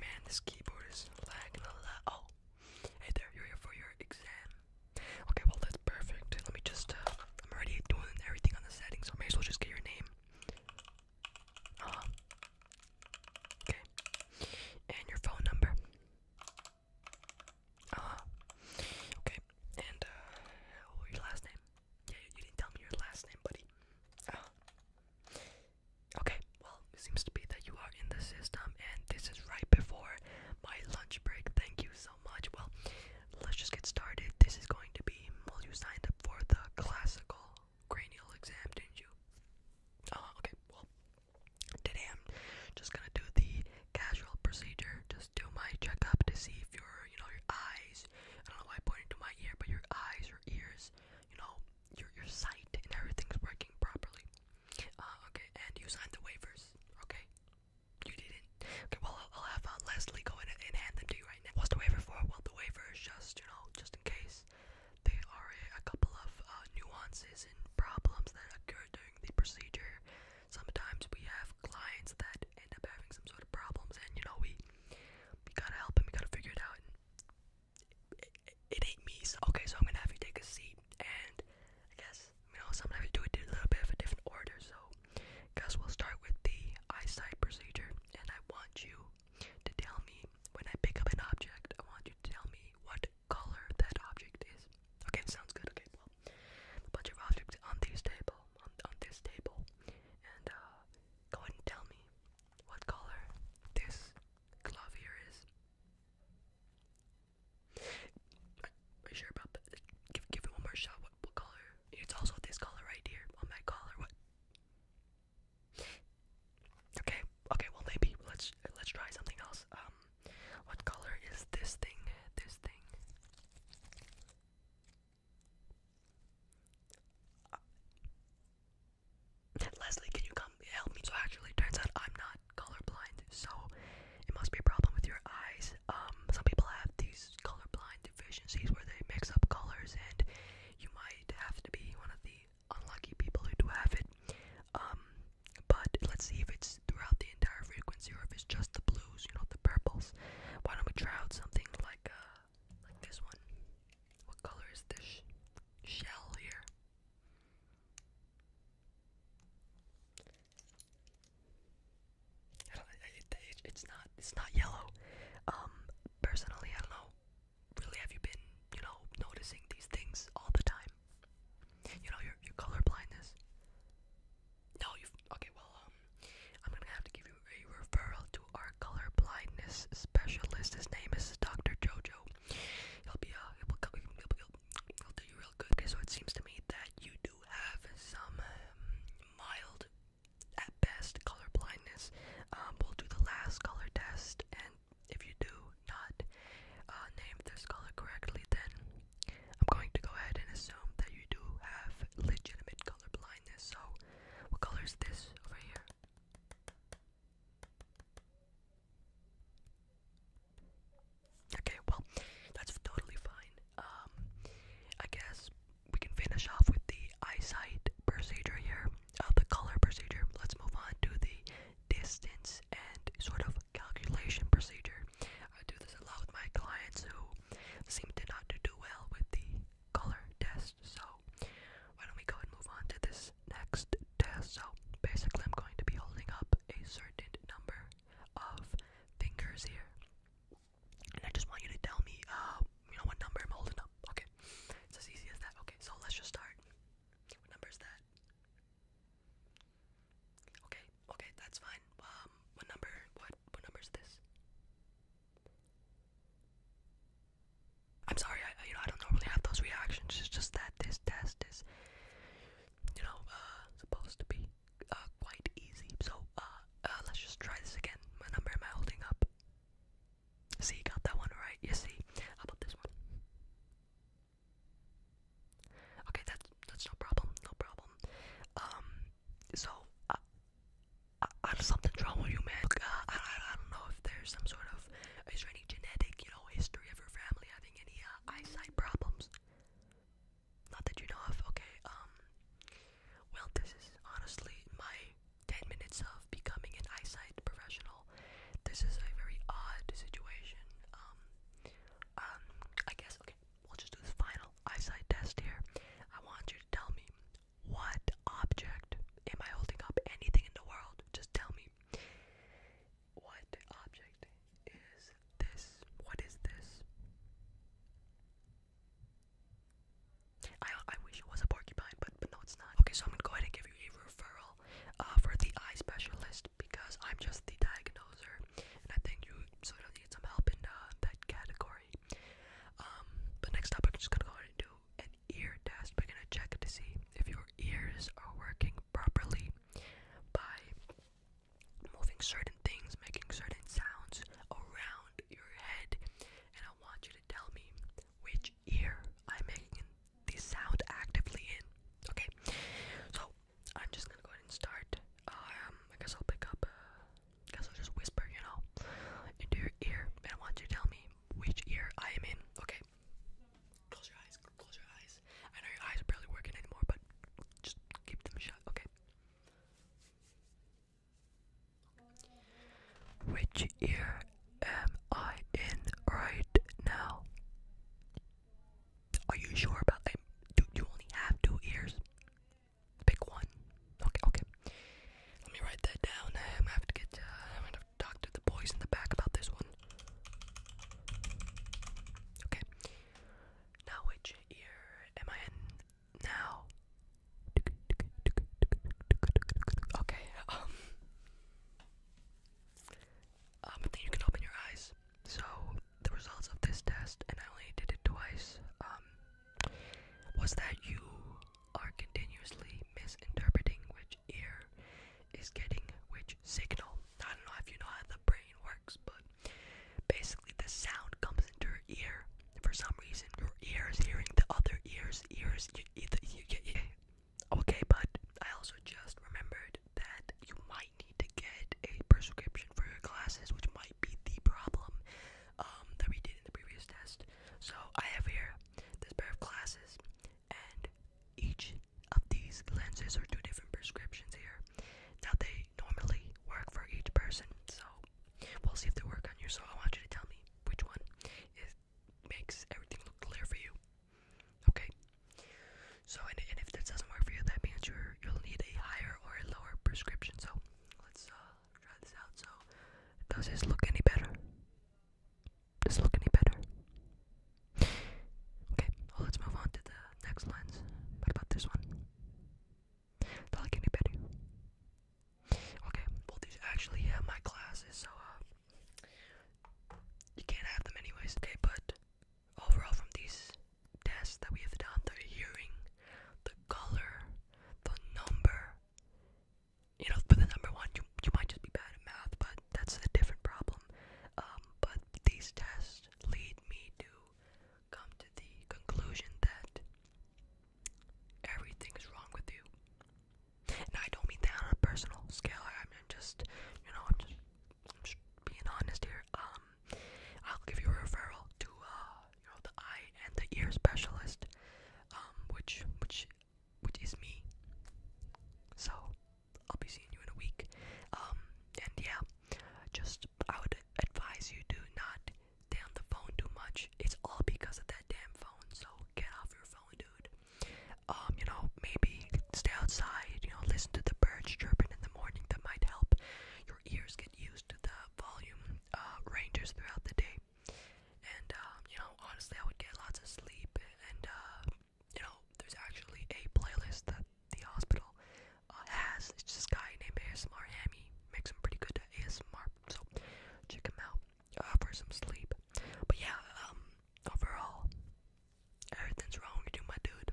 Man, this keyboard is lagging a lot. Oh, hey there, you're here for your exam. Okay, well, that's perfect. Let me just, uh, I'm already doing everything on the settings, I may as well just get your name. Uh-huh. Okay. And your phone number. Uh Okay. And, uh, what was your last name? Yeah, you, didn't tell me your last name, buddy. Uh-huh. Okay, well, it seems to be that you are in the system, and this is right before my lunch break. Thank you so much. Well, let's just get started. This is going to be, well, you signed up for the classical cranial exam, didn't you? Uh, okay, well, today I'm just gonna do the casual procedure, just do my checkup to see if your, you know, your eyes, I don't know why I pointed to my ear, but your eyes or ears you know, your your site and everything's working properly. Uh, okay, and you signed the waivers, okay? You didn't. Okay, well, I'll, have uh, Leslie go and hand them to you right now. What's the waiver for? Well, the waiver just, you know, just in case there are a, couple of uh, nuances and problems that occur during the procedure. Sometimes we have clients that end up having some sort of problems, and you know, we we gotta help him. We gotta figure it out. it, ain't me. okay, so I'm gonna have you take a seat, and I guess you know, so i do it in a little bit of a different order. So, guess we'll start with the eyesight procedure, and I want you to tell me when I pick up an object. I want you to tell me what color that object is. Okay, sounds good. Okay, well, a bunch of objects on this table, on, on this table, and uh, go ahead and tell me what color this glove here is. Are you sure about that? Give, give it one more shot. What, color? It's also this color right here on my collar. What? Okay, okay. Well, maybe let's let's try something else. Um, what color is this thing? This thing. Uh, Leslie, can you come help me? So actually, turns out I'm not colorblind, so it must be a problem with your eyes. Um, some people have these colorblind deficiencies where they mix up colors, and you might have to be one of the unlucky people who do have it. Um, but let's see if it's throughout the entire frequency or if it's just the blues, you know, the purples. Why don't we try out something like uh, like this one. What color is this shell here? it's not. It's not yellow. Um, personally, I don't know. Really, have you been, you know, noticing these things all the time? You know, your your color blindness. No, you've okay. Well, um, I'm gonna have to give you a referral to our color blindness specialist. His name is Dr. Jojo. He'll be uh, he'll, do you real good. Okay, so it seems to me that you do have some um, mild, at best, color blindness. Um, we'll do the last color test, and if you do not uh, name this color correctly, then I'm going to go ahead and assume that you do have legitimate color blindness. So, what color is this over here? Okay, well, that's totally fine. Um, I guess we can finish off with the eyesight procedure here, uh, the color procedure. Let's move on to the distance and sort of calculation procedure. I do this a lot with my clients who seem to not do well with the color test. So why don't we go and move on to this next test? So basically, I'm going to be holding up a certain number of fingers here, and I just want you to tell me, uh, you know, what number I'm holding up. Okay, it's as easy as that. Okay, so let's just start. What number is that? Okay, okay, that's fine. Um, what number? What what number is this? I'm sorry, I, you know, I don't normally have those reactions. It's just that this test is, you know, uh, supposed to be uh, quite easy. So, uh, let's just try this again. My number am I holding up? See, you got that one right. You see? How about this one? Okay, that's that's no problem, no problem. Um, so I, something's wrong with you, man. Uh, I, don't know if there's some sort of is there any genetic, you know, history of your family having any uh, eyesight problems? Not that you know of. Okay. Um. Well, this is honestly my ten minutes of becoming an eyesight professional. This is a very odd situation. Um. Um. I guess. Okay we'll just do this final eyesight test here. I want you to tell me what object am I holding up? Anything in the world? Just tell me. What object is this? What is this? I I wish it was a porcupine, but but no, it's not. Okay, so I'm gonna go ahead and give you a referral uh, for the eye specialist because I'm just the diagnoser, and I think you sort of need some help in uh, that category. Um, but next up, I'm just gonna go ahead and do an ear test. We're gonna check to see if your ears are working properly by moving certain things, making certain sounds around your head. And I want you to tell me which ear I'm making the sound actively in. Okay, so I'm just gonna go ahead and start um, I guess I'll pick up. Uh, guess I'll just whisper, you know, into your ear, and want you to tell me which ear I am in. Okay. Close your eyes. Close your eyes. I know your eyes are barely working anymore, but just keep them shut. Okay. Which ear am I in right now? Are you sure about? Like, do you only have two ears? Pick one. Okay, okay. Let me write that down. I'm gonna have to get. Uh, I'm gonna talk to the boys in the back about this one. Okay. Now which ear am I in now? Okay. Um. Um. I you can open your eyes. So the results of this test, and I only did it twice, um, was that you are continuously misinterpreting which ear is getting which signal. I don't know if you know how the brain works, but basically the sound comes into your ear. For some reason, your ear is hearing the other ear's ears. You, you, you, you, you. Okay, but I also just remembered that you might might need to get a prescription for your glasses, which might be the problem um, that we did in the previous test. So I have here this pair of glasses, and each of these lenses are two different prescriptions here. Now they normally work for each person, so we'll see if they work on you. So I want you to tell me which one is makes everything look clear for you. Okay. So and, and if this doesn't work for you, that means you're you'll need a higher or a lower prescription. So let's uh, try this out. So does this look any better? Does it look any better? Okay, well let's move on to the next lens. about this one? Does it look any better? Okay, well these actually have my glasses, so uh, you can't have them anyways. Okay, but overall from these tests that we have done, the hearing, the color, the number. You know, for the number one, you you might just be bad at math, but that's a different problem. Um, but these tests lead me to come to the conclusion that everything is wrong with you. And I don't mean that on a personal scale. I mean just, you know, I'm just I'm just being honest here. Um, I'll give you a referral to uh, you know, the eye and the ear specialist, um, which which which is me. So I'll be seeing you in a week. Um, and yeah, just I would advise you do not stay on the phone too much. It's all because of that damn phone. So get off your phone, dude. Um, you know, maybe stay outside. You know, listen to the birds chirping in the morning. That might help your ears get used to the volume uh, ranges throughout the day. And uh, you know, honestly, I would get lots of sleep. And uh, you know, there's actually a playlist that the hospital uh, has. It's this guy named ASMR Hammy. Makes some pretty good ASMR. So check him out uh, for some sleep. But yeah, um, overall, everything's wrong with you, my dude.